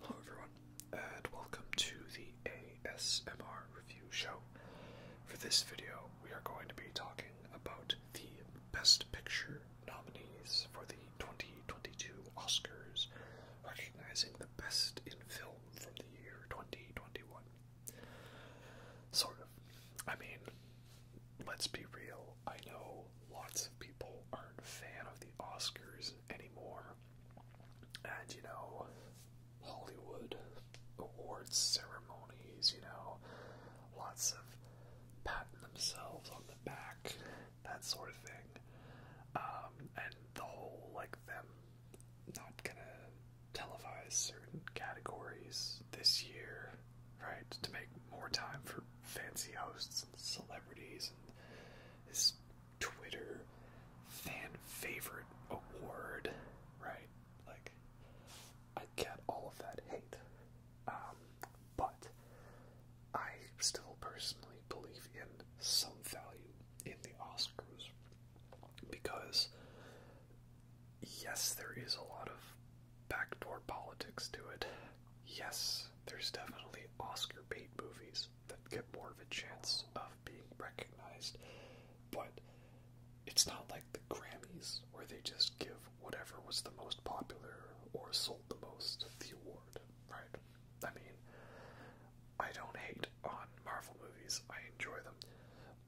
Hello, everyone, and welcome to the ASMR review show. For this video, we are going to be talking about the Best Picture nominees for the 2022 Oscars, recognizing the best in film from the year 2021. Sort of. I mean, let's be real. I know lots of people aren't a fan of the Oscars anymore. And, you know, Hollywood awards ceremonies, you know, lots of patting themselves on the back, that sort of thing. Um, and the whole, like, them not gonna televise certain categories this year, right? To make more time for fancy hosts and celebrities and this Twitter fan favorite award, right? Like, I get all of that hate. Um, but I still personally believe in some value in the Oscars because yes, there is a lot of backdoor politics to it. Yes, there's definitely Oscar bait movies that get more of a chance of being recognized, but it's not like the Grammys where they just give whatever was the most popular or sold the most the award, right? I mean, I don't hate on Marvel movies. I enjoy them.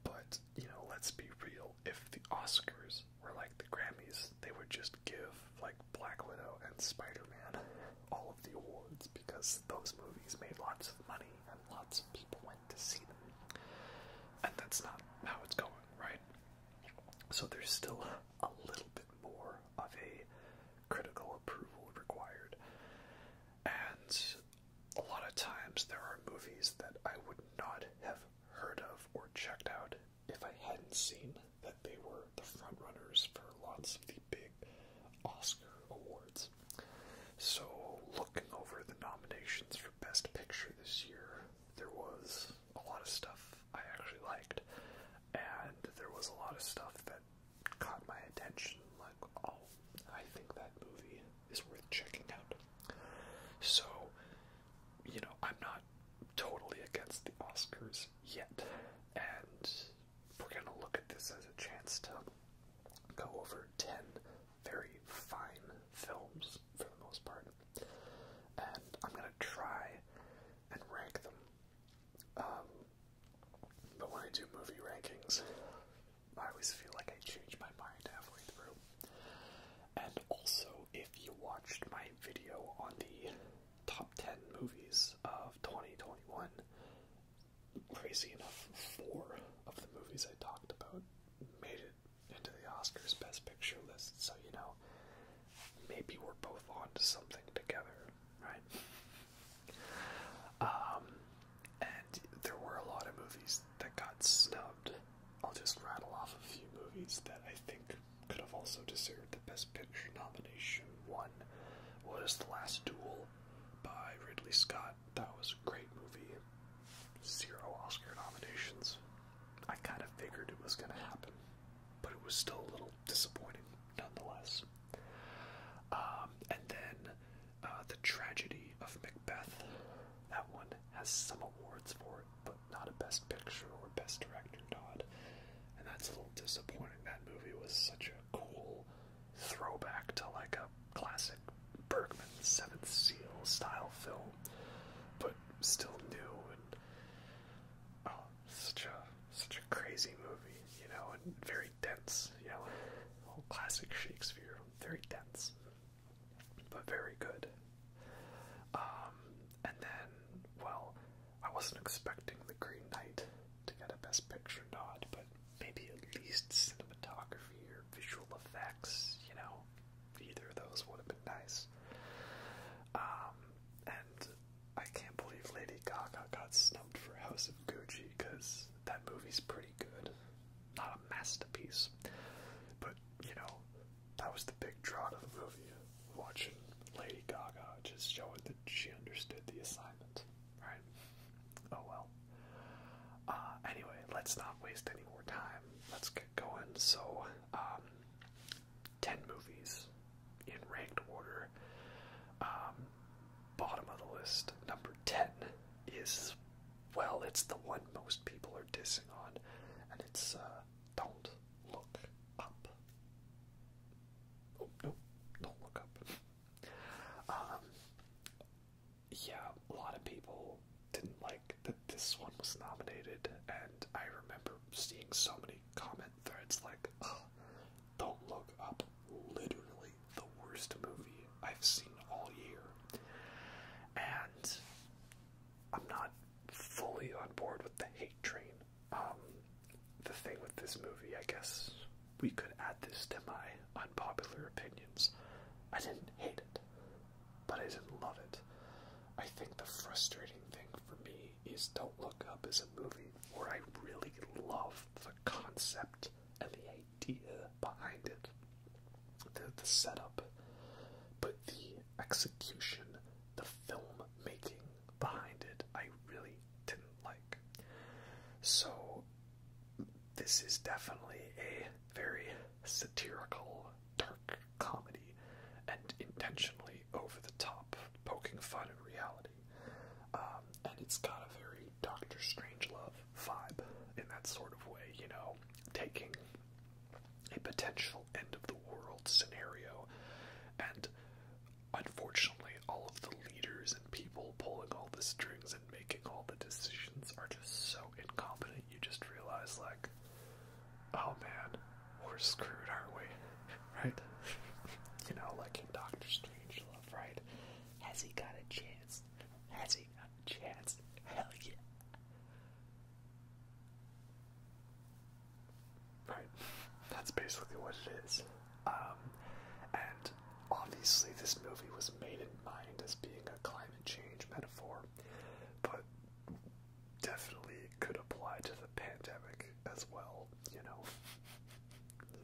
But, you know, let's be real. If the Oscars were like the Grammys, they would just give, like, Black Widow and Spider Man all of the awards because those movies made lots of money and lots of people went to see them. And that's not how it's going, right? So there's still a little bit more of a critical approval required. And a lot of times there are movies that I would not have heard of or checked out if I hadn't seen that they were the front runners for lots of the big Oscar awards. So, looking over the nominations for Best Picture this year, there was a lot of stuff I actually liked, and there was a lot of stuff that caught my attention, like, oh, I think that movie is worth checking out. So, you know, I'm not totally against the Oscars yet, and we're gonna look at this as a chance to go over 10 very fine films for the most part, and I'm gonna try and rank them. Um, but when I do movie rankings, I always feel like I change my mind halfway through. And also, if you watched my video on the top 10 movies of 2021, crazy enough, four of the movies I talked about made it into the Oscars Best Picture list, so you know, maybe we're both on to something together, right? Um, and there were a lot of movies that got snubbed. I'll just rattle off a few movies that I think could have also deserved the Best Picture nomination. One was The Last Duel by Ridley Scott. That was a great movie. Zero Oscar nominations. I kind of figured it was going to happen, but it was still a little disappointing nonetheless. Um, and then uh, the Tragedy of Macbeth. That one has some awards for it, but not a Best Picture or Best Director nod. And that's a little disappointing. That movie was such a cool throwback to like a classic Bergman Seventh Seal style film, but still new and oh, such a such a crazy movie, you know, and very dense, you know, old classic Shakespeare, very dense, but very good. Um, and then, well, I wasn't expecting The Green Knight to get a Best Picture nod, but maybe at least cinematography or visual effects, you know, either of those would have been nice. Um, and I can't believe Lady Gaga got snubbed for House of Gucci because that movie's pretty good. Not a masterpiece, but you know, that was the big draw to the movie. Watching Lady Gaga just showing that she understood the assignment, right? Oh well. Uh, anyway, let's not waste any more time. Let's get going. So, um, 10 movies in ranked order. Um, bottom of the list, number 10 is well, it's the one most people are dissing on, and it's uh, Don't Look Up. Oh, Don't Look Up. Um, yeah, a lot of people didn't like that this one was nominated, and I remember seeing so many comment threads like, Don't Look Up literally the worst movie I've seen all year. And I'm not fully on board with the hate train. Um, the thing with this movie, I guess we could add this to my unpopular opinions. I didn't hate it, but I didn't love it. I think the frustrating thing for me is Don't Look Up is a movie where I really love the concept of the hate idea behind it, the, setup, but the execution, the film making behind it, I really didn't like. So, this is definitely a very satirical, dark comedy and intentionally over the top, poking fun at reality. Um, and it's got a very Doctor Strange love vibe in that sort of way, you know, taking a potential end of the world scenario and unfortunately all of the leaders and people pulling all the strings and making all the decisions are just so incompetent you just realize like oh man we're screwed aren't we right you know like in doctor love, right has he got a chance has he chance. Hell yeah. Right. That's basically what it is. Um, and obviously, this movie was made in mind as being a climate change metaphor, but definitely could apply to the pandemic as well, you know?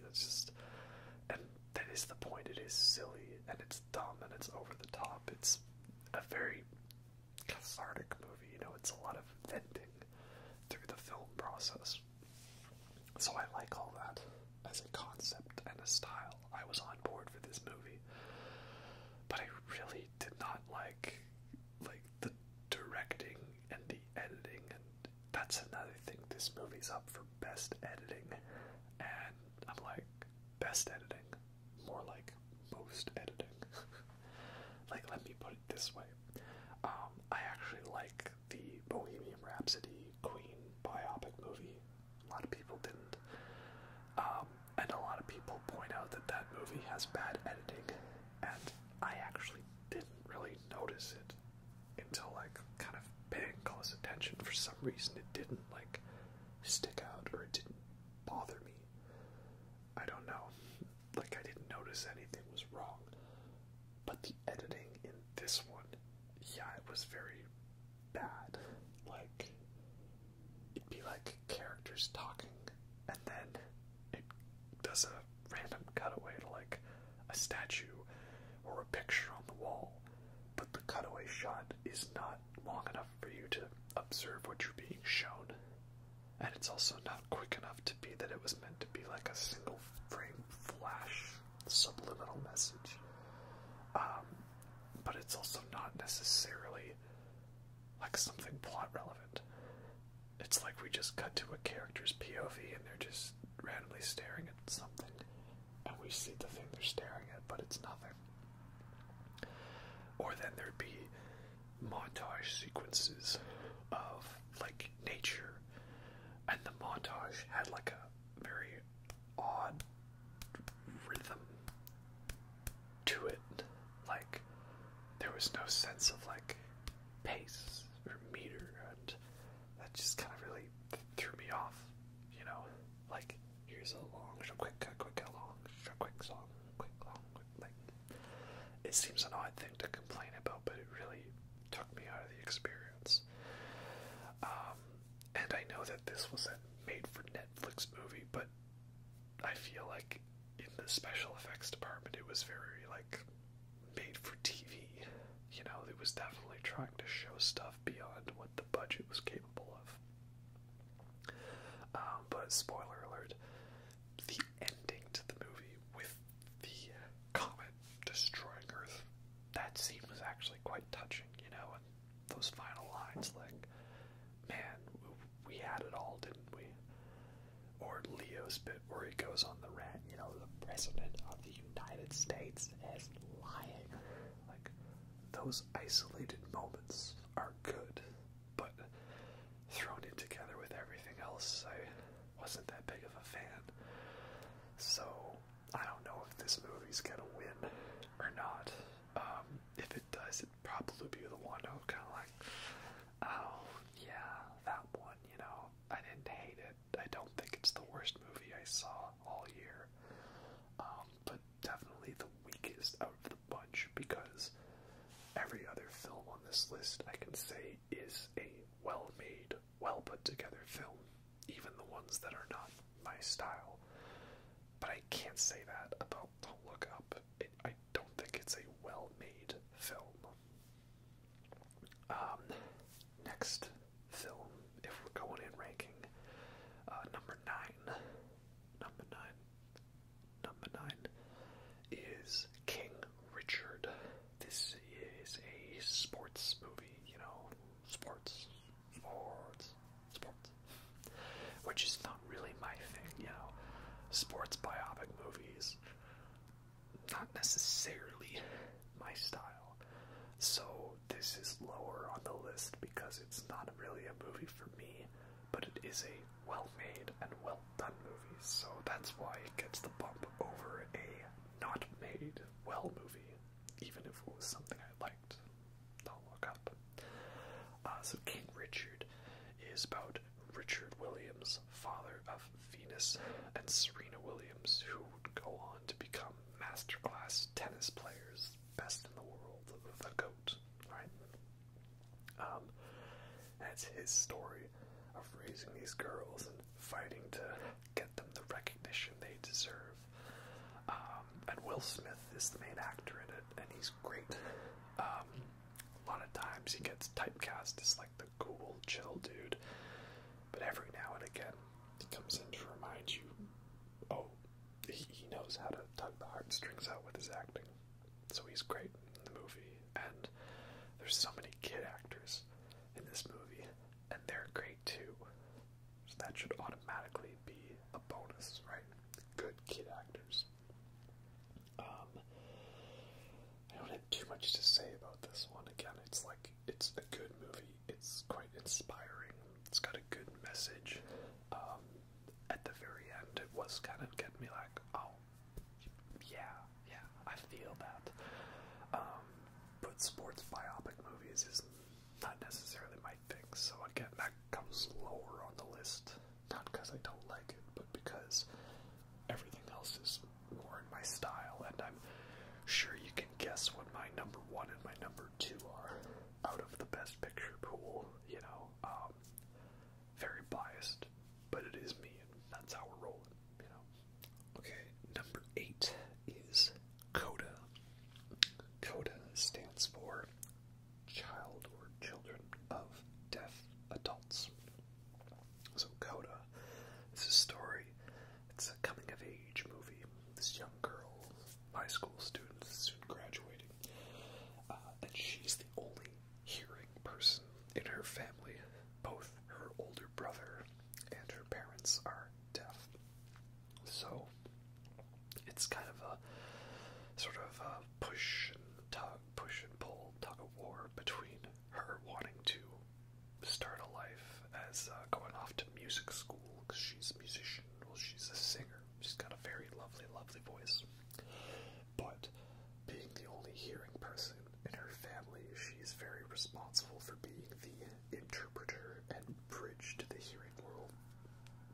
It's just. And that is the point. It is silly and it's it's and it's over the top. It's a very cathartic movie, you know, it's a lot of venting through the film process. So I like all that as a concept and a style. I was on board for this movie. But I really did not like like the directing and the editing and that's another thing this movie's up for best editing and I'm like best editing, more like most editing. like, let me put it this way um, I actually like the Bohemian Rhapsody Queen biopic movie. A lot of people didn't. Um, and a lot of people point out that that movie has bad editing, and I actually didn't really notice it until like kind of paying close attention. For some reason, it didn't like stick out or it didn't bother me. I don't know. Like, I didn't notice anything was wrong. But the editing in this one, yeah, it was very bad. Like, it'd be like characters talking, and then it does a random cutaway to like a statue or a picture on the wall, but the cutaway shot is not long enough for you to observe what you're being shown. And it's also not quick enough to be that it was meant to be like a single frame flash subliminal message. Um, but it's also not necessarily like something plot relevant. It's like we just cut to a character's POV and they're just randomly staring at something and we see the thing they're staring at, but it's nothing. Or then there'd be montage sequences of like nature, and the montage had like a very odd rhythm to it. Like, there was no sense of like pace or meter, and that just kind of really threw me off, you know? Like, Here's a long, quick, quick, quick, long, quick song, quick, long, like. It seems an odd thing to complain about, but it really took me out of the experience. Um, and I know that this was a made-for-Netflix movie, but I feel like in the special effects department, it was very like made-for-TV. You know, it was definitely tried to show stuff beyond what the budget was capable of. Um, but spoiler alert, the ending to the movie with the comet destroying Earth, that scene was actually quite touching, you know, and those final lines like, man, we had it all, didn't we? Or Leo's bit where he goes on the rant, you know, the President of the United States is lying. Like, those isolated moments are good, but thrown in together with everything else, I wasn't that big of a fan. So I don't know if this movie's gonna win or not. Um, if it does, it'd probably be the one I'm kind of like, oh yeah, that one. You know, I didn't hate it. I don't think it's the worst movie I saw all year. Um, but definitely the weakest out of the bunch because every other film on this list I can say is a well made, well put together film, even the ones that are not my style. But I can't say that about the Look Up. It, I don't think it's a well made film. Um, next so, if we're going in ranking. Uh, number nine, number nine, number nine is King Richard. This is a sports movie, you know, sports, sports, sports, which is not really my thing, you know. Sports biopic movies, not necessarily my style. So this is lower on the list because it's not really a movie for me, but it is a well-made and well-done movie. So that's why it gets the bump over a not made well movie, even if it was something I liked. Don't look up. Uh, so King Richard is about Richard Williams, father of Venus and Serena Williams, who would go on to become masterclass tennis players best in the world of the goat, right? Um, his story of raising these girls and fighting to get them the recognition they deserve. Um, and Will Smith is the main actor in it, and he's great. Um, a lot of times he gets typecast as like the cool, chill dude, but every now and again he comes in to remind you, oh, he, knows how to tug the heartstrings out with his acting. So he's great in the movie. And there's so many kid actors in this movie, and they're great too. So that should automatically be a bonus, right? Good kid actors. Um, I don't have too much to say about this one. Again, it's like it's a good movie it's quite inspiring. It's got a good message. Um, at the very end, it was kind of getting me like, oh, yeah, yeah, I feel that. Um, but sports biopic movies is not necessarily my thing, so again, that comes lower on the list. Not because I don't like it, but because everything else is more in my style, and I'm sure you can guess what my number one and my number two are out of the best picture pool, you know. Um, very biased, but it is me, and that's how we're rolling, you know. Okay, number eight is CODA. CODA stands for Child or Children of Deaf Adults. So, CODA it's a story, it's a coming of age movie this young girl, high school student, soon graduating, uh, and she's the only hearing person in her family. Both her older brother and her parents are deaf, so it's kind of a sort of a push and tug, push and pull, tug of war between her wanting to start a life as uh, going off to music school because she's a musician well, she's a singer. She's got a very lovely, lovely voice. But being the only hearing person in her family, she's very responsible for being the interpreter and bridge to the hearing world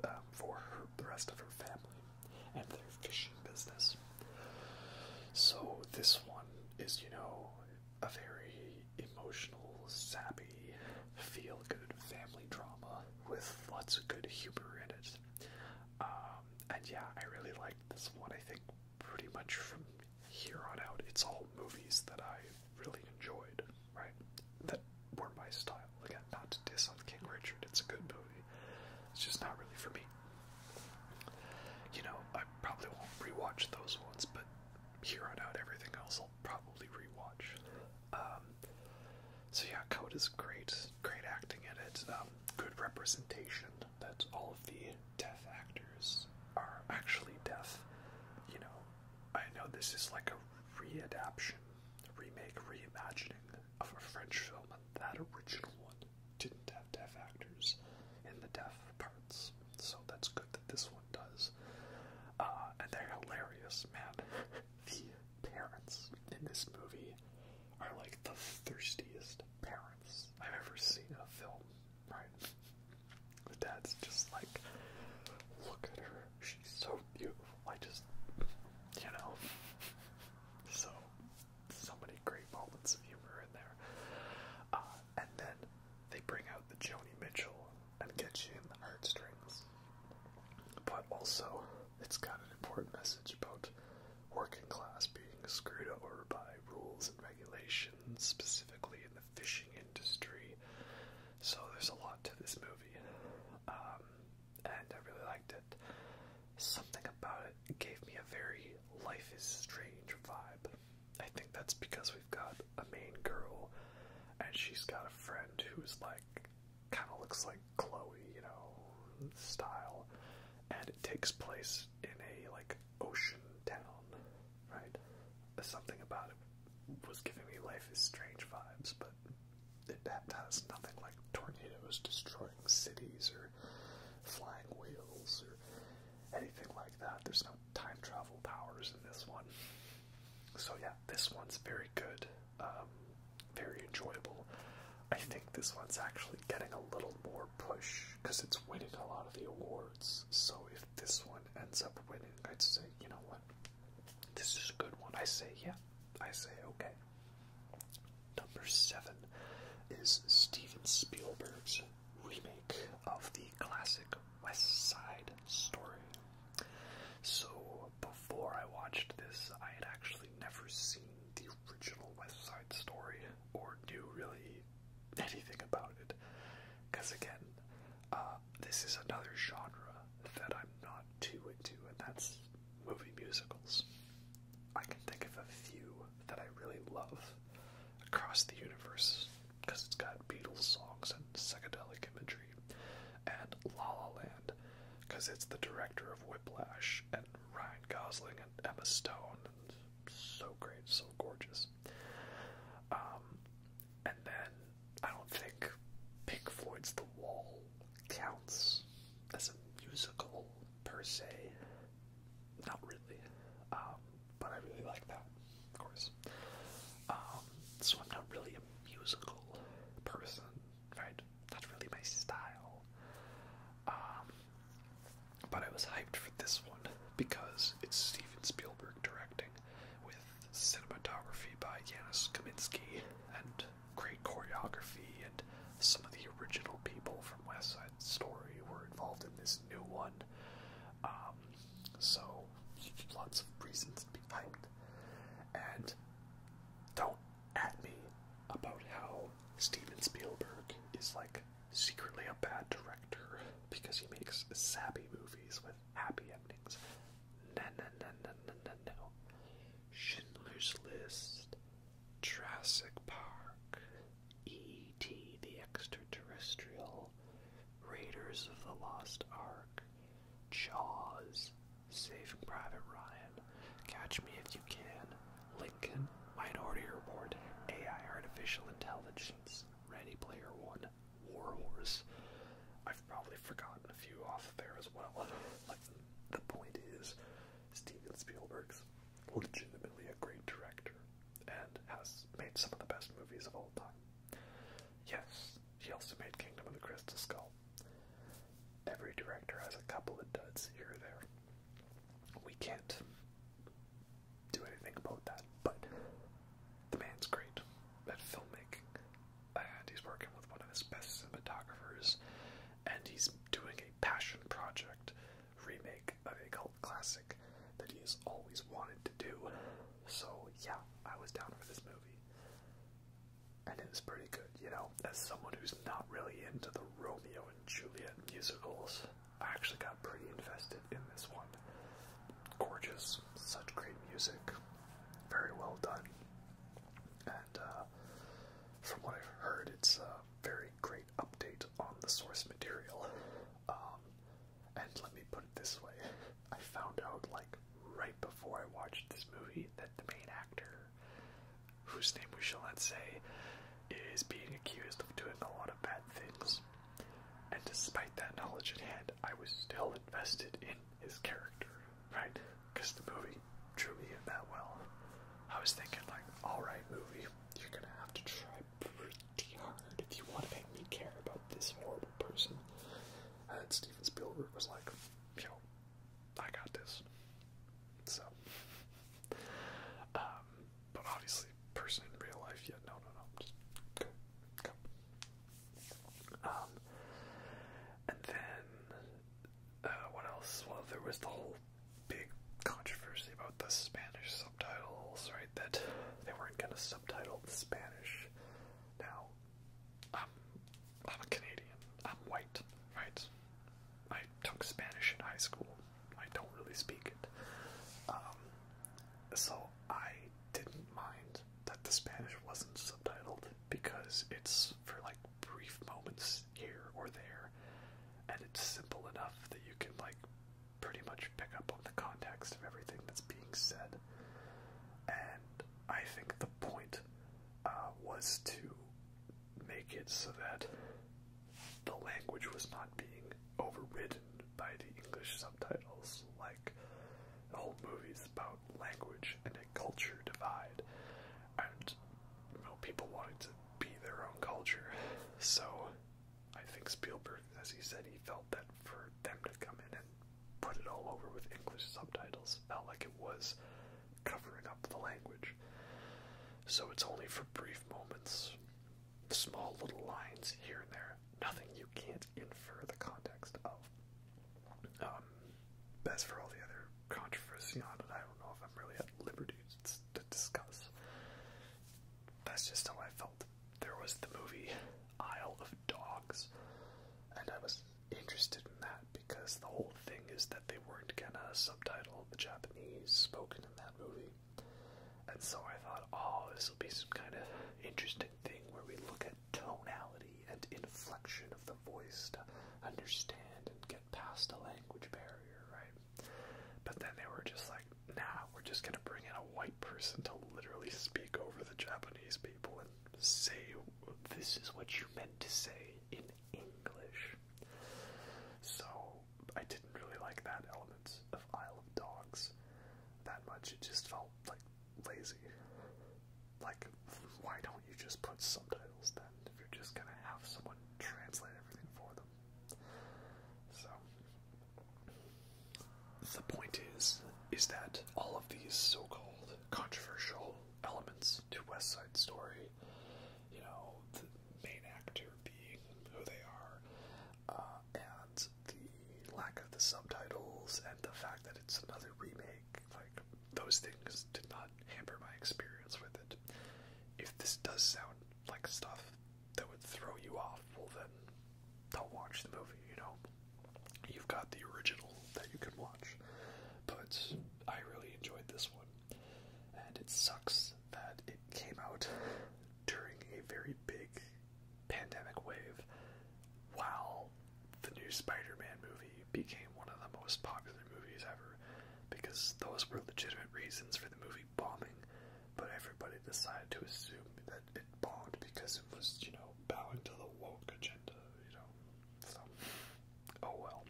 um, for her, the rest of her family and their fishing business. So this one is, you know, a very emotional, sappy, feel good family drama with lots of good humor in it. Um, and yeah, I really liked this one. I think pretty much from here on out, it's all movies that I really enjoyed, right? That were my style. Again, not to diss on King Richard, it's a good movie. It's just not really for me. You know, I probably won't rewatch those ones, but here on out, everything else probably rewatch. Um, so yeah, Code is great. Great acting in it. Um, good representation that all of the deaf actors are actually deaf. You know, I know this is like a re readaptation, remake, reimagining of a French film, and that original one didn't have deaf actors in the deaf parts. So that's good that this one does. Uh, and they're hilarious, man. the parents in this movie are like the thirstiest parents I've ever seen in a film, right? The dad's just like, look at her, she's so beautiful. I just, you know. So, so many great moments of humor in there. Uh, and then they bring out the Joni Mitchell and get you in the heartstrings. But also, it's got an important message about working class being screwed over by rules and regulations, specifically in the fishing industry. So there's a lot to this movie, um, and I really liked it. Something about it gave me a very Life is Strange vibe. I think that's because we've got a main girl, and she's got a friend who's like kind of looks like Chloe, you know, style, and it takes place in a like ocean town, right? Something about it was giving me Life is Strange vibes, but it has nothing like tornadoes destroying cities or flying wheels or anything like that. There's no time travel powers in this one. So yeah, this one's very good, um, very enjoyable. I think this one's actually getting a little more push because it's winning a lot of the awards. So if this one ends up winning, I'd say, you know what, this is a good one. I say, yeah, I say, okay. Number seven is Steven Spielberg's remake of the classic West Side Story. So before I watched this, I had actually never seen the original West Side Story or knew really anything about it. Because again, uh, this is another genre that I'm not too into, and that's movie musicals. I can think of a few that I really love across the universe because it's got Beatles songs and psychedelic imagery and La La Land, because it's the director of Whiplash and Ryan Gosling and Emma Stone. And so great, so gorgeous. Um, and then I don't think Pink Floyd's The Wall counts as a musical per se. Not really, um, but I really like that, of course. Um, so I'm not really a musical person, right? Not really my style. Um, but I was hyped for this one because it's Steven Spielberg directing with cinematography by Janusz Kaminski and great choreography and some of the original people from West Side Story were involved in this new one. Um, so lots of reasons to be hyped and don't at me about how Steven Spielberg is like secretly a bad director because he makes sappy movies with happy endings. No, no, no, no, no, no, no. Schindler's List, Jurassic Park, E.T. the Extraterrestrial, Raiders of the Lost Ark, Jaws, Saving Private Ryan, Catch Me If You Can, Lincoln, Minority Report, AI Artificial Intelligence, Ready Player One, War Horse. I've probably forgotten a few off there as well. like, the point is, Steven Spielberg's legitimately a great director and has made some of the best movies of all time. Yes, she also made Kingdom of the Crystal Skull. Every director has a couple of duds here or there. We can't do anything about that, but the man's great at filmmaking, and he's working with one of his best cinematographers, and he's doing a passion project remake of a cult classic that he's always wanted to do. So, yeah, I was down for this movie and it was pretty good, you know. As someone who's not really into the Romeo and Juliet musicals, I actually got pretty invested in this one. Gorgeous, such great music, very well done, and uh, from what I've heard, it's a very great update on the source material. Um, and let me put it this way. I found out like right before I watched this movie that the main actor, whose name we shall not say, is being accused of doing a lot of bad things. And despite that knowledge at hand, I was still invested in his character, right? Because the movie drew me in that well. I was thinking, like, alright, movie, you're gonna have to try pretty hard if you want to make me care about this horrible person. And Steven Spielberg was like, you I got this. So, um, but obviously, person in real life, yeah, no, no, no, um, and then, uh, what else? Well, there was the whole big controversy about the Spanish subtitles, right? That they weren't gonna subtitle the Spanish. Now, I'm, I'm a Canadian. I'm white, right? I took Spanish in high school. I don't really speak it. Um, so I didn't mind that the Spanish wasn't subtitled because it's for like brief moments here or there, and it's simple enough that you can like pretty much pick up on the context of everything that's being said. And I think the point uh, was to make it so that the language was not being overridden by the English subtitles. Like, the whole movie's about language and a culture divide. And, people wanted to be their own culture. So, I think Spielberg, as he said, he felt that for them to come in and put it all over with English subtitles. Felt like it was covering up the language. So it's only for brief moments, small little lines here and there. Nothing you can't infer the context of. Um, as for all the other controversy on it, I don't know if I'm really at liberty to discuss. That's just how I felt. There was the movie Isle of Dogs, and I was interested in that because the whole thing is that they weren't gonna subtitle the Japanese spoken in that movie. And so I thought, oh, this will be some kind of interesting thing where we look at tonality and inflection of the voice to understand and get past a language barrier, right? But then they were just like, nah, we're just gonna bring in a white person to literally speak over the Japanese people and say this is what you meant to say in English. So I didn't really like that element of Isle of Dogs that much. It just felt like lazy. Like, why don't you just put subtitles then if you're just gonna have someone translate everything for them? So, the point is is that all of these so-called controversial elements to West Side Story, you know, the main actor being who they are, uh, and the lack of the subtitles and the fact that it's another remake, like those things did not hamper my experience with it. If this does sound like stuff that would throw you off, well then don't watch the movie, you know. You've got the original that you can watch, but I really enjoyed this one. And it sucks that it came out during a very big pandemic wave while the new Spider Man movie became one of the most popular movies ever because those were legitimate reasons for the movie bombing, but everybody decided to assume that it bombed because it was, you know, bowing to the woke agenda, you know, so, oh well.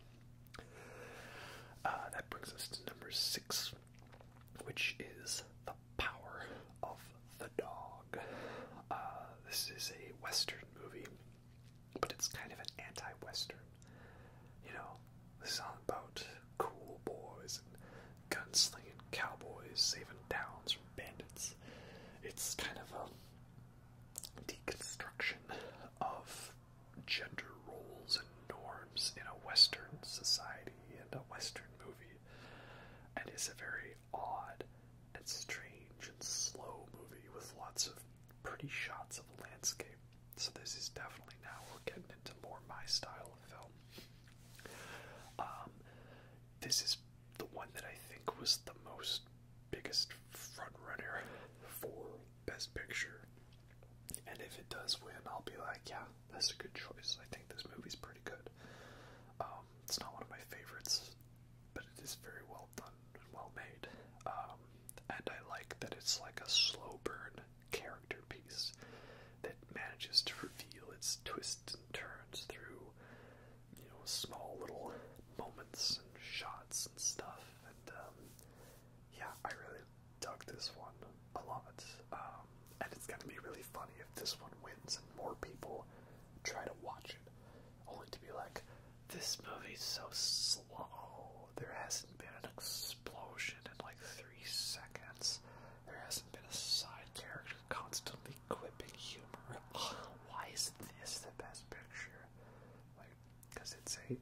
Uh, that brings us to number six, which is The Power of the Dog. Uh, this is a Western movie, but it's kind of an anti Western. You know, this is all about cool boys and gunslinging cowboys saving towns from bandits. It's kind of a deconstruction of gender roles and norms in a Western society and a Western movie, and is a very odd and strange and slow movie with lots of pretty shots of the landscape. So this is definitely now we're getting into more my style of film. Um, this is the one that I think was the most biggest front runner for Best Picture. And if it does win, I'll be like, yeah, that's a good choice. I think this movie's pretty good. Um, it's not one of my favorites, but it is very well done and well made. Um, and I like that it's like a slow burn character piece that manages to reveal its twists and turns through you know, small little moments and shots and stuff. And um, yeah, I really dug this one a lot. Um, and it's gonna be really funny if this one wins and more people try to watch it, only to be like, this movie's so slow. There hasn't been an explosion in like three seconds. There hasn't been a side character constantly every humor. Why is this the best picture? Like, because it's a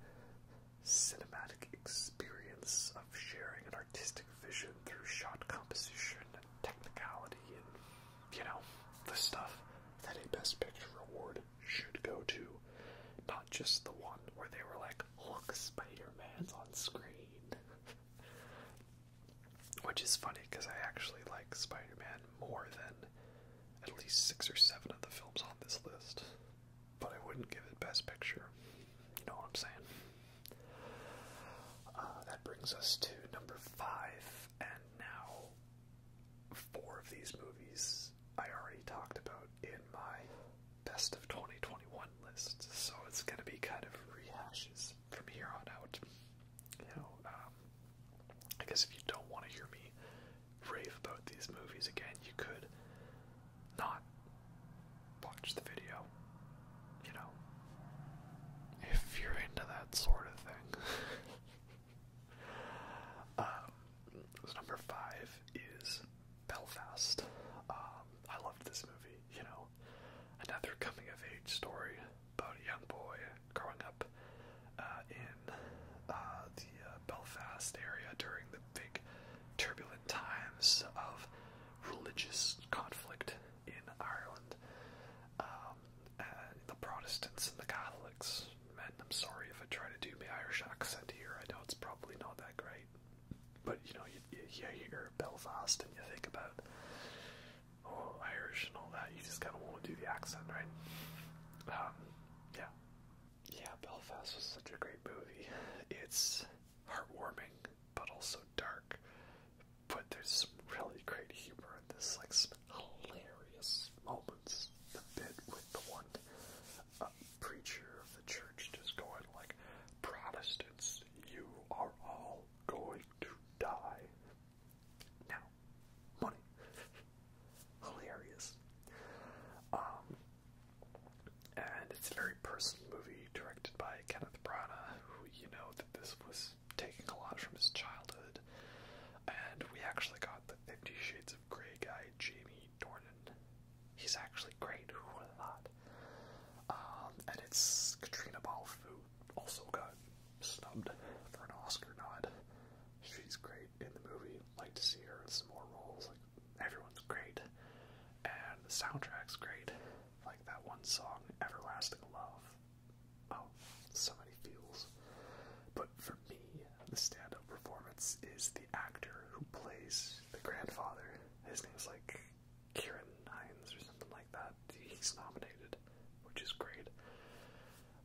cinematic experience of sharing an artistic vision through shot composition and technicality and, you know, the stuff that a Best Picture award should go to. Not just the one where they were like, look, Spider Man's on screen. Which is funny because I actually like Spider Man more than at least six or seven of the films on this list, but I wouldn't give it Best Picture. You know what I'm saying? Uh, that brings us to number five, and now four of these movies I already talked about in my Best of 2021 list, so it's going to be kind of rehashes from here on out. You know, um, I guess if you don't want to hear me rave about these movies again, you could not watch the video. You know, if you're into that sort of thing. um, number five is Belfast. Um, I loved this movie. You know, another coming of age story about a young boy growing up uh, in uh, the uh, Belfast area during the big turbulent times of religious conflict in Ireland. Um, the Protestants and the Catholics. Man, I'm sorry if I try to do my Irish accent here. I know it's probably not that great, but you know, you, you, you hear Belfast and you think about oh, Irish and all that. You just kind of want to do the accent, right? Um, yeah. Yeah, Belfast was such a great movie. It's heartwarming, but also dark. But there's some really great humor in this, like some hilarious moments. The bit with the one uh, preacher of the church just going like, Protestants, you are all going to die. Now, money. Hilarious. Um, and it's a very personal movie directed by Kenneth Branagh, who you know that this was taking a lot from his childhood. And we actually got the Fifty Shades of Grey guy, Jamie Dornan. He's actually great, who would have Um, and it's Katrina Balfu also got snubbed for an Oscar nod. She's great in the movie. Like to see her in some more roles. Like everyone's great, and the soundtrack's great. Like that one song, "Everlasting Love." Oh, so many feels. But for me, the standout performance is the actor who plays the grandfather. His name's like Kieran Hines or something like that. He's nominated, which is great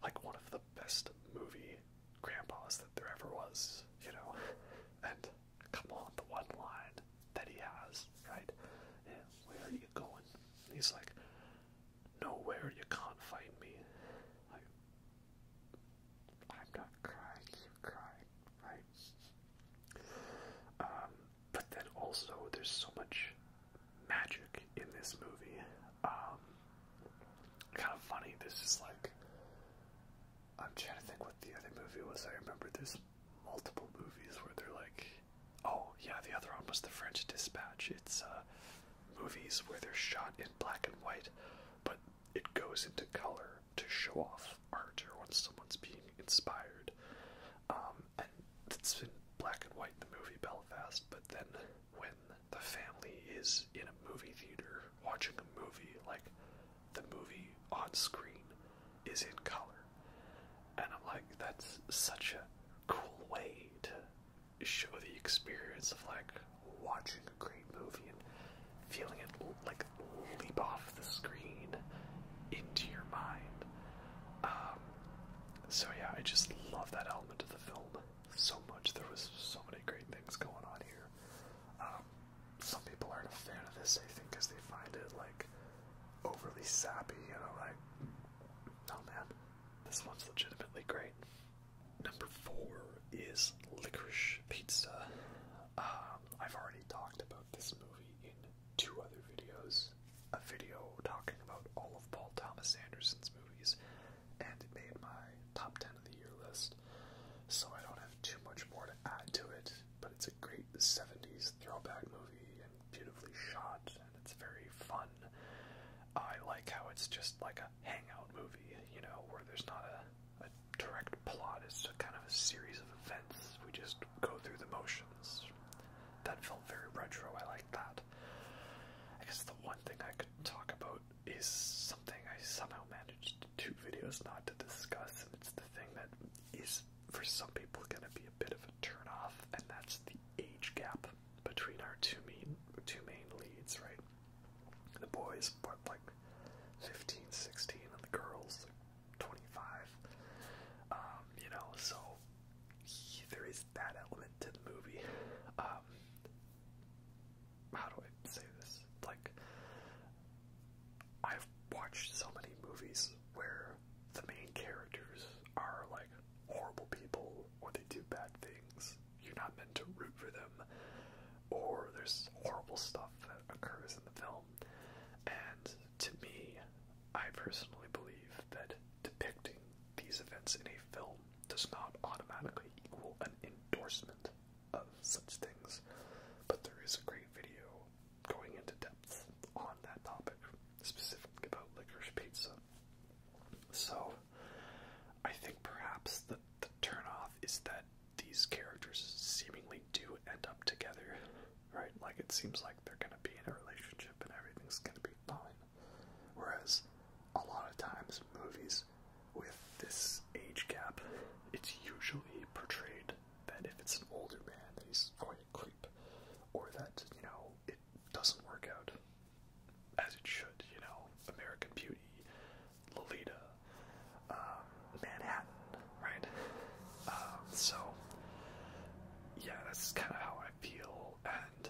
like one of the best movie grandpas that there ever was, you know. And come on, the one line that he has, right? Yeah, where are you going? And he's like, Nowhere you can't find me. Like, I'm not crying, you're crying, right? Um, but then also, there's so much magic in this movie. Um, kind of funny. This is like I'm trying to think what the other movie was. I remember there's multiple movies where they're like, oh yeah, the other one was The French Dispatch. It's uh, movies where they're shot in black and white, but it goes into color to show off art or when someone's being inspired. Um, and it's in black and white in the movie Belfast, but then when the family is in a movie theater watching a movie, like the movie on screen is in color. And I'm like, that's such a cool way to show the experience of like watching a great movie and feeling it like leap off the screen into your mind. Um, so yeah, I just love that element of the film so much. There was so many great things going on here. Um, some people aren't a fan of this, I think, because they find it like overly sappy, you know, like, oh man, this one's legitimately great. Number four is Licorice Pizza. Um, I've already talked about this movie in two other videos. A video talking about all of Paul Thomas Anderson's movies, and it made my top 10 of the year list. So I don't have too much more to add to it, but it's a great 70s throwback movie and beautifully shot, and it's very fun. I like how it's just like a hangout movie, you know, where there's not a, a direct plot, it's just kind of a series of events. We just go through the motions that felt very retro. I like that. I guess the one thing I could talk about is something I somehow managed two videos not to discuss, and it's the thing that is for some people going to be a bit of a turn off, and that's the age gap between our two main two main leads, right? The boys what like 15, 16, and the girls 25. Um, you know, so there is that element to the movie. Um, how do I say this? Like, I've watched so many movies where the main characters are like horrible people or they do bad things. You're not meant to root for them, or there's horrible stuff that occurs in the film. And to me, I personally believe that depicting these events in a film does not automatically equal an endorsement of such things, but there is a great video going into depth on that topic, specific about licorice pizza. So, I think perhaps the, the turnoff is that these characters seemingly do end up together, right? Like, it seems like they're gonna be in a relationship and everything's gonna be fine. Whereas a lot of times movies with this age gap, it's usually portrayed that if it's an older man that he's quite a creep. Or that, you know, it doesn't work out as it should, you know. American Beauty, Lolita, um, Manhattan, right? Um, so yeah, that's kind of how I feel, and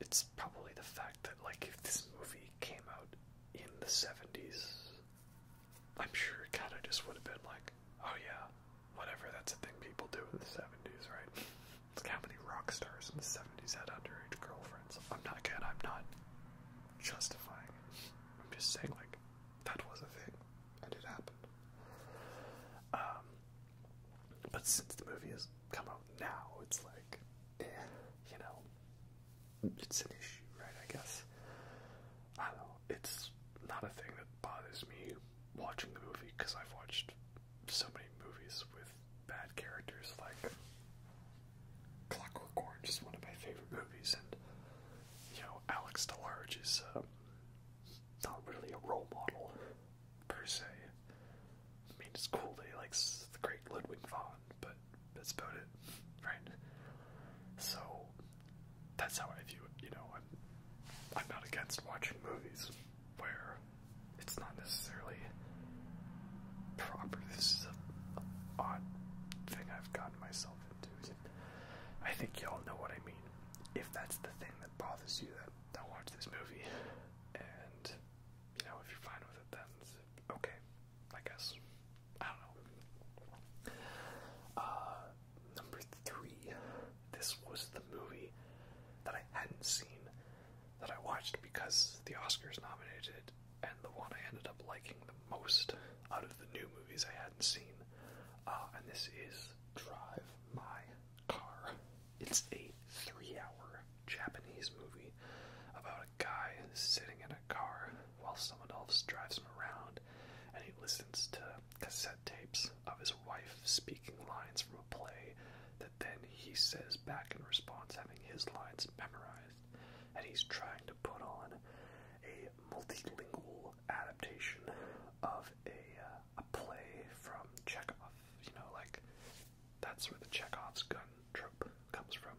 it's probably the fact that like if this movie came out in the 70s i'm sure it kind of just would have been like oh yeah whatever that's a thing people do in the 70s right like how many rock stars in the 70s had underage girlfriends i'm not good i'm not justifying it i'm just saying like that was a thing and it happened um but since the movie has come out now, it's like, you know, it's an issue, right? I guess. I don't know. It's not a thing that bothers me watching the movie because I've watched so many movies with bad characters, like Clockwork Orange is one of my favorite movies, and you know, Alex DeLarge is uh, not really a role model per se. I mean, it's cool that he likes the great Ludwig von, but that's about it, right? So that's how I view it. You know, I'm I'm not against watching movies where it's not necessarily proper. This is an odd thing I've gotten myself into. I think y'all know what I mean. If that's the thing that bothers you, then don't watch this movie. And you know, if you're fine with it, then okay, I guess. I don't know. Uh, number three. This was the movie that I hadn't seen that I watched because the Oscars nominated it, and the one I ended up liking the most out of the new movies I hadn't seen. Uh, and this is Drive My Car. It's a three hour Japanese movie about a guy sitting in a car while someone else drives him around and he listens to cassette tapes of his wife speaking lines from a play that then he says back in response, having his lines memorized. And he's trying to put on a multilingual adaptation of a, uh, a play from Chekhov, you know, like that's where the Chekhov's gun trope comes from.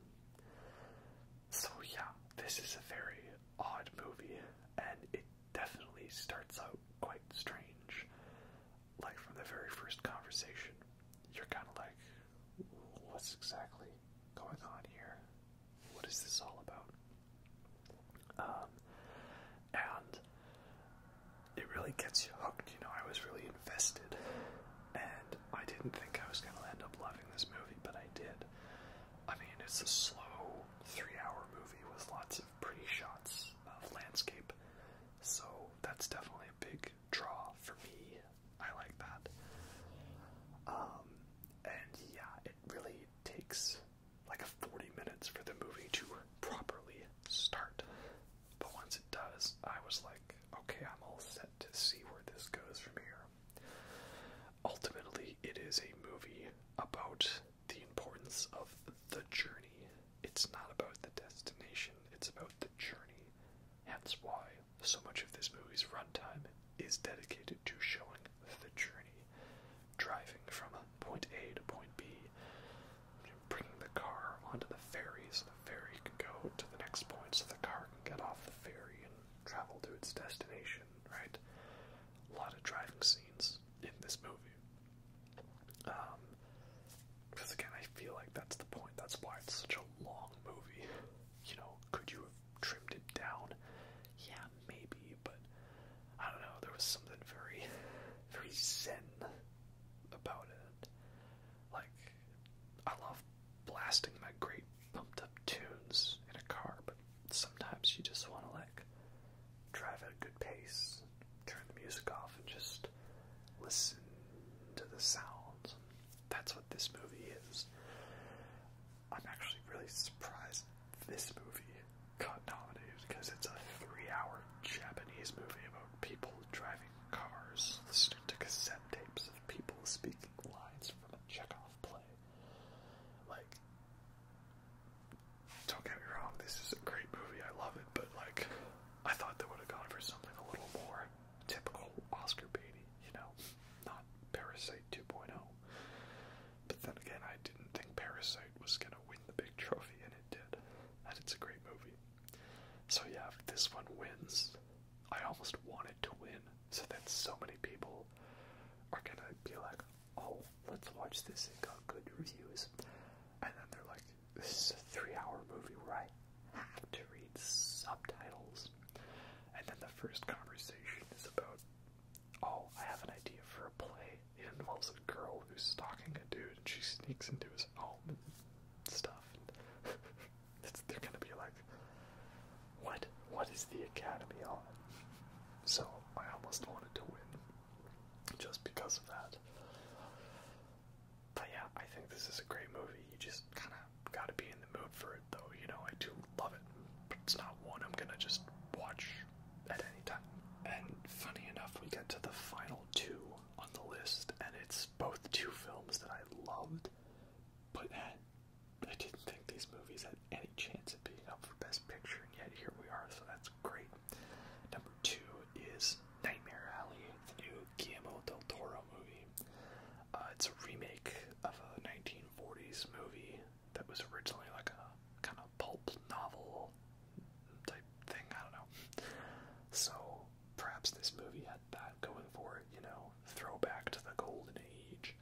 So, yeah, this is a very odd movie, and it definitely starts out quite strange. Like, from the very first conversation, you're kind of like, what's exactly going on here? What is this all about? Um, and it really gets you hooked. You know, I was really invested, and I didn't think I was going to end up loving this movie, but I did. I mean, it's a slow three-hour movie with lots of pretty shots of landscape, so that's definitely a big draw for me. I like that. Um, and yeah, it really takes like 40 minutes for the movie to properly start. But once it does, I was like, okay, I'm all set to see where this goes from here. Ultimately, it is a movie about the importance of the journey. It's not about the destination, it's about the journey. That's why so much of this movie's runtime is dedicated to showing the journey. Driving from point A to point B bringing the car onto the ferry so the ferry can go to the next point so the car can get off the ferry and travel to its destination, right? A lot of driving scenes in this movie. because um, again, I feel like that's the point. That's why it's such a long movie. You know, could you have trimmed it down? Yeah, maybe, but I don't know. There was something very, very zen about it. Like, I love blasting my great pumped up tunes in a car, but sometimes you just want to, like, drive at a good pace, turn the music off, and just listen to the sounds. That's what this movie is. I'm actually really surprised this movie got nominated because it's a three hour Japanese movie people driving cars, listening to cassette tapes of people speaking lines from a Chekhov play. Like, don't get me wrong, this is a great movie, I love it, but like, I thought they would have gone for something a little more typical Oscar baity, you know? Not Parasite 2.0. But then again, I didn't think Parasite was gonna win the big trophy, and it did. And it's a great movie. So yeah, if this one wins, I almost want it to win, so that so many people are gonna be like, oh, let's watch this, it got good reviews. And then they're like, this is a three hour movie where I have to read subtitles. And then the first conversation is about, oh, I have an idea for a play. It involves a girl who's stalking a dude and she sneaks into his home stuff. they're gonna be like, what? What is the academy on? So I almost wanted to win just because of that. But yeah, I think this is a great movie. You just kind of got to be in the mood for it, though. You know, I do love it, it's not one I'm gonna just watch at any time. And funny enough, we get to the final two on the list, and it's both two films that I loved, but I didn't think these movies had any chance of being up for Best Picture, and yet here we are, so that's great. Number two is Nightmare Alley, the new Guillermo del Toro movie. Uh, it's a remake of a 1940s movie that was originally like a kind of pulp novel type thing. I don't know. So perhaps this movie had that going for it, you know, throwback to the golden age.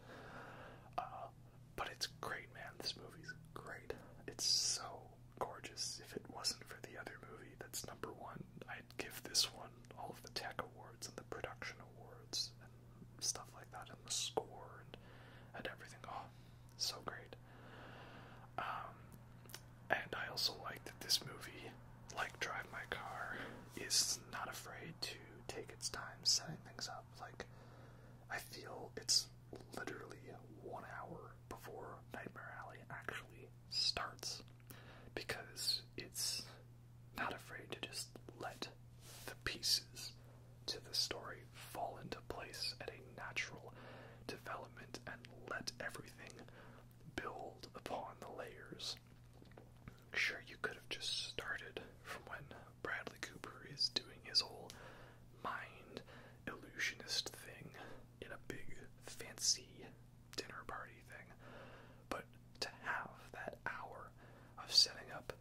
Uh, but it's great, man. This movie's great. It's so gorgeous. If it wasn't for the other movie, that's number one. I'd give this one all of the tech awards and the production awards and stuff like that, and the score and, and everything. Oh, so great. Um, and I also like that this movie, like Drive My Car, is not afraid to take its time setting things up. Like, I feel it's literally one hour before Nightmare Alley actually starts because it's not afraid to just let the pieces to the story fall into place at a natural development and let everything build upon the layers. Sure, you could have just started from when Bradley Cooper is doing his whole mind illusionist thing in a big fancy dinner party thing, but to have that hour of setting up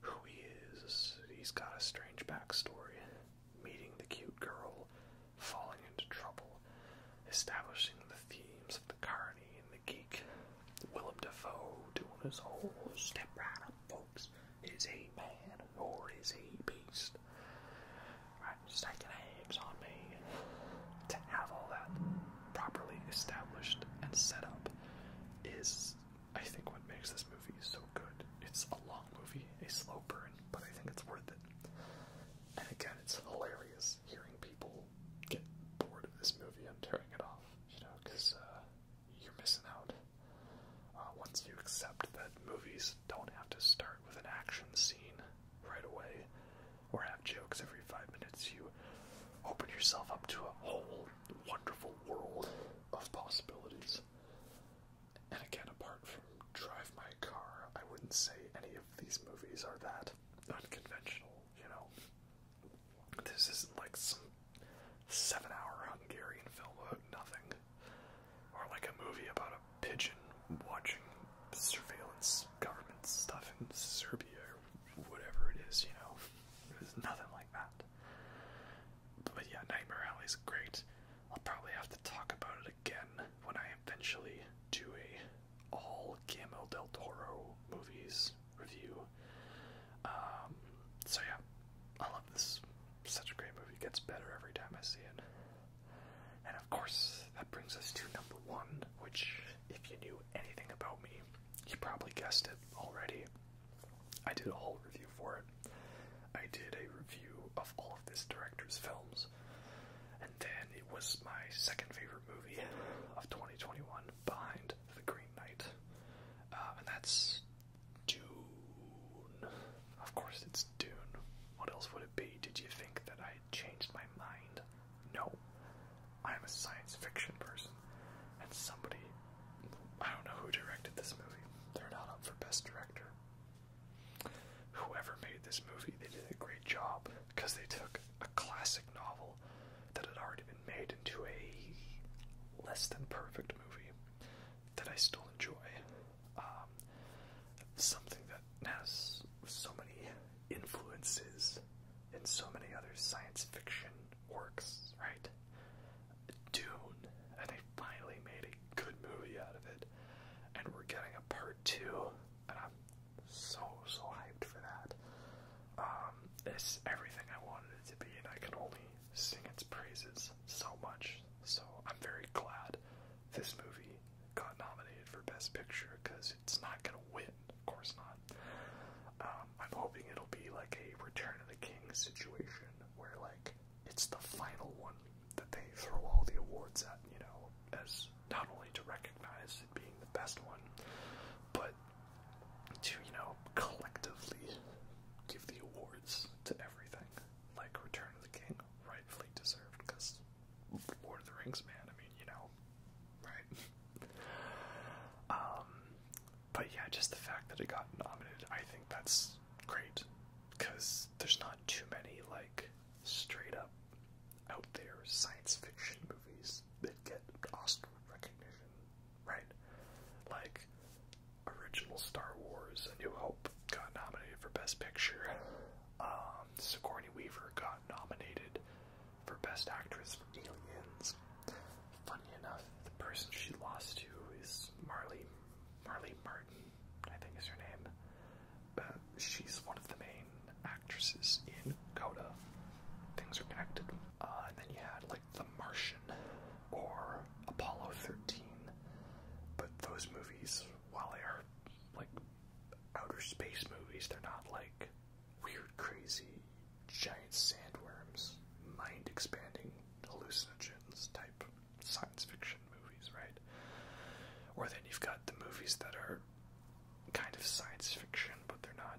who he is, he's got a strange backstory, meeting the cute girl, falling into trouble, establishing the themes of the carny and the geek. Willem Dafoe doing his whole step right up, folks. Is he man or is he beast? Right, staking eggs on me. To have all that properly established and set up is, I think, what makes this movie so good. It's a long movie, a slow burn, but I think it's worth it. And again, it's hilarious hearing people get bored of this movie and tearing it off, you know, because uh, you're missing out. Uh, once you accept that movies don't have to start with an action scene right away or have jokes every five minutes, you open yourself up to a whole wonderful world of possibilities. And again, apart from Drive My Car, I wouldn't say any of these movies are that unconventional, you know? This isn't like some seven hour Hungarian film about nothing, or like a movie about a pigeon watching surveillance government stuff in Serbia or whatever it is, you know? There's nothing like that. But yeah, Nightmare Alley is great. I'll probably have to talk about it again when I eventually do a all Guillermo del Toro movies review. Um, so yeah, I love this. Such a great movie. gets better every time I see it. And of course, that brings us to number one, which, if you knew anything about me, you probably guessed it already. I did a whole review for it. I did a review of all of this director's films. And then it was my second favorite movie of 2021 behind The Green Knight. Uh, and that's Dune. Of course, it's Dune. What else would it be? Did you think that I changed my mind? No. I'm a science fiction person. And somebody, I don't know who directed this movie, they're not up for Best Director. Whoever made this movie, they did a great job because they took a classic novel that had already been made into a less than perfect movie that I still enjoy. Um, something that has so many influences and so many other science fiction works, right? Dune, and they finally made a good movie out of it and we're getting a part two, and I'm so so hyped for that. Um, it's everything I wanted it to be, and I can only sing its praises so much. So I'm very glad this movie got nominated for Best Picture because it's not gonna win, of course not. Um, I'm hoping it'll be like a Return of the King situation where like it's the final one that they throw all the awards at, you know, as not only to recognize it being the best one, but to, you know, collectively give the awards to everything. Like Return of the King, rightfully deserved, because Lord of the Rings, man, I mean, you know, right? um, but yeah, just the fact that it got nominated, I think that's great, because there's not too many, like, straight up out there science fiction movies that get Oscar recognition, right? Like original Star Wars, A New Hope got nominated for Best Picture. Um, Sigourney Weaver got nominated for Best Actress for Aliens. Funny enough, the person she lost to is Marley Marley Martin, I think is her name. But uh, she's one of the main actresses in Coda. Things are connected. Uh, and then you had like The Martian or Apollo 13. But those movies, while they are like outer space movies, they're not like weird, crazy, giant sandworms, mind expanding hallucinogens type science fiction movies, right? Or then you've got the movies that are kind of science fiction, but they're not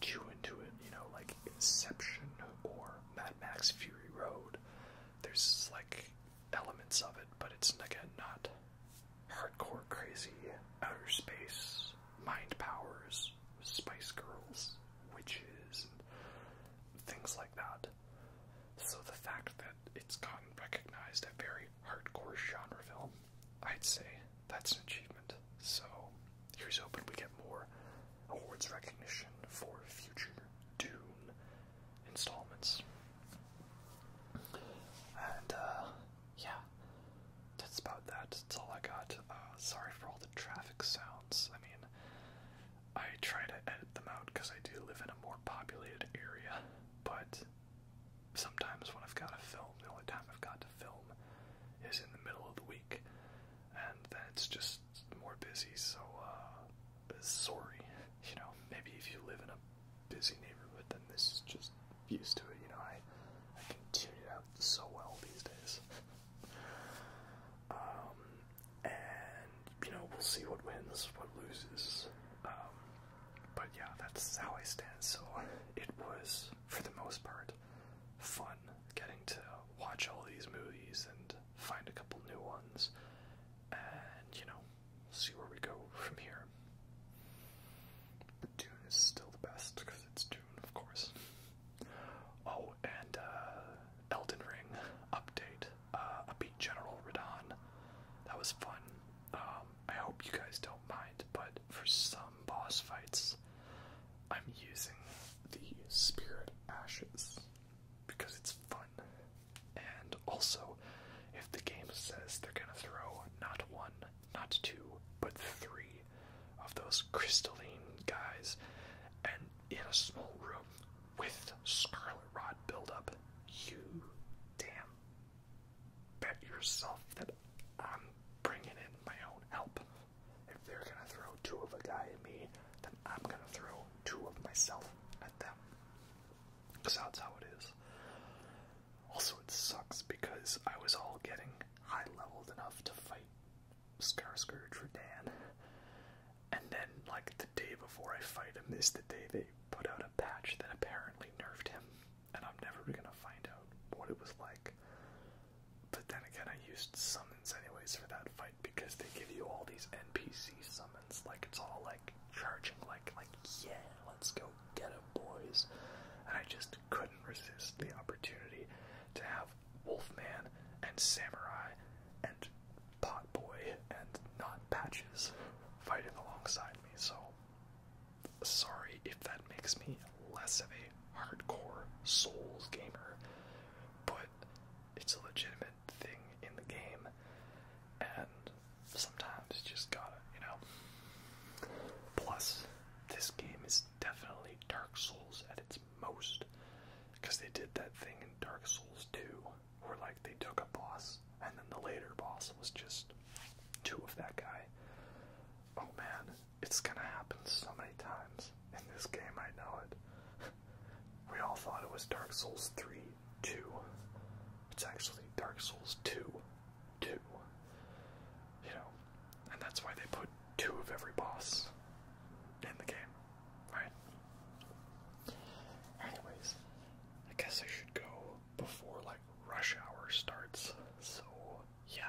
too into it, you know, like Inception or Mad Max Fury Road. There's like elements of it, but it's again not hardcore crazy outer space, mind powers, spice girls, witches, and things like that. So the fact that it's gotten recognized a very hardcore genre film, I'd say that's an achievement. So here's hoping we get more awards recognition for future Dune installments. And uh, yeah. That's about that. That's all I got. Uh, sorry for all the traffic sounds. I mean, I try to edit them out because I do live in a more populated area, but sometimes when I've got to film, the only time I've got to film is in the middle of the week, and then it's just more busy. So uh, sorry, you know. Maybe if you live in a busy neighborhood, then this is just used to it. You know, I I can tune it out so well these days. um, and you know, we'll see what wins, what loses. Um, but yeah, that's how I stand. So it was, for the most part, fun getting to watch all these movies and find a couple new ones and, you know, see where we go from here. But Dune is still the best because it's Dune, of course. Oh, and uh, Elden Ring update uh, beat General Radon. That was fun. Um, I hope you guys don't mind, but for some boss fights, I'm using the Spirit Ashes because it's fun. And also, if the game says they're gonna throw not one, not two, but three of those crystalline guys, and in a small room with Scarlet Rod buildup, you damn bet yourself that I'm bringing in my own help. If they're gonna throw two of a guy at me, then I'm gonna throw two of myself at them. Because that's how it is. Also, it sucks because I was all getting high leveled enough to fight Scarscourge for Dan. And then, like, the day before I fight him is the day they put out a patch that apparently nerfed him, and I'm never gonna find out what it was like. But then again, I used summons anyways for that fight because they give you all these NPC summons, like it's all like charging, like like yeah, let's go get him, boys. And I just couldn't resist the opportunity to have Wolfman and Samurai and Potboy and not patches fighting alongside so sorry if that makes me less of a hardcore Souls gamer, but it's a legitimate thing in the game, and sometimes it's just gotta, you know. Plus, this game is definitely Dark Souls at its most, because they did that thing in Dark Souls 2 where like they took a boss and then the later boss was just two of that guy. Oh man, it's gonna happen so many times in this game, I know it. we all thought it was Dark Souls 3 2. It's actually Dark Souls 2 2. You know, and that's why they put two of every boss in the game, right? Anyways, I guess I should go before like rush hour starts. So yeah,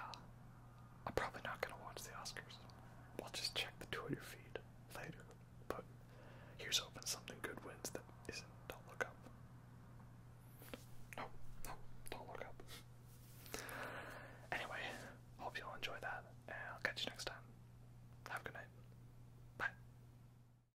I'm probably not gonna watch the Oscars. I'll just check the Twitter feed later. But here's hoping something good wins that isn't. Don't look up. No, no, don't look up. Anyway, hope you all enjoy that, and I'll catch you next time. Have a good night. Bye.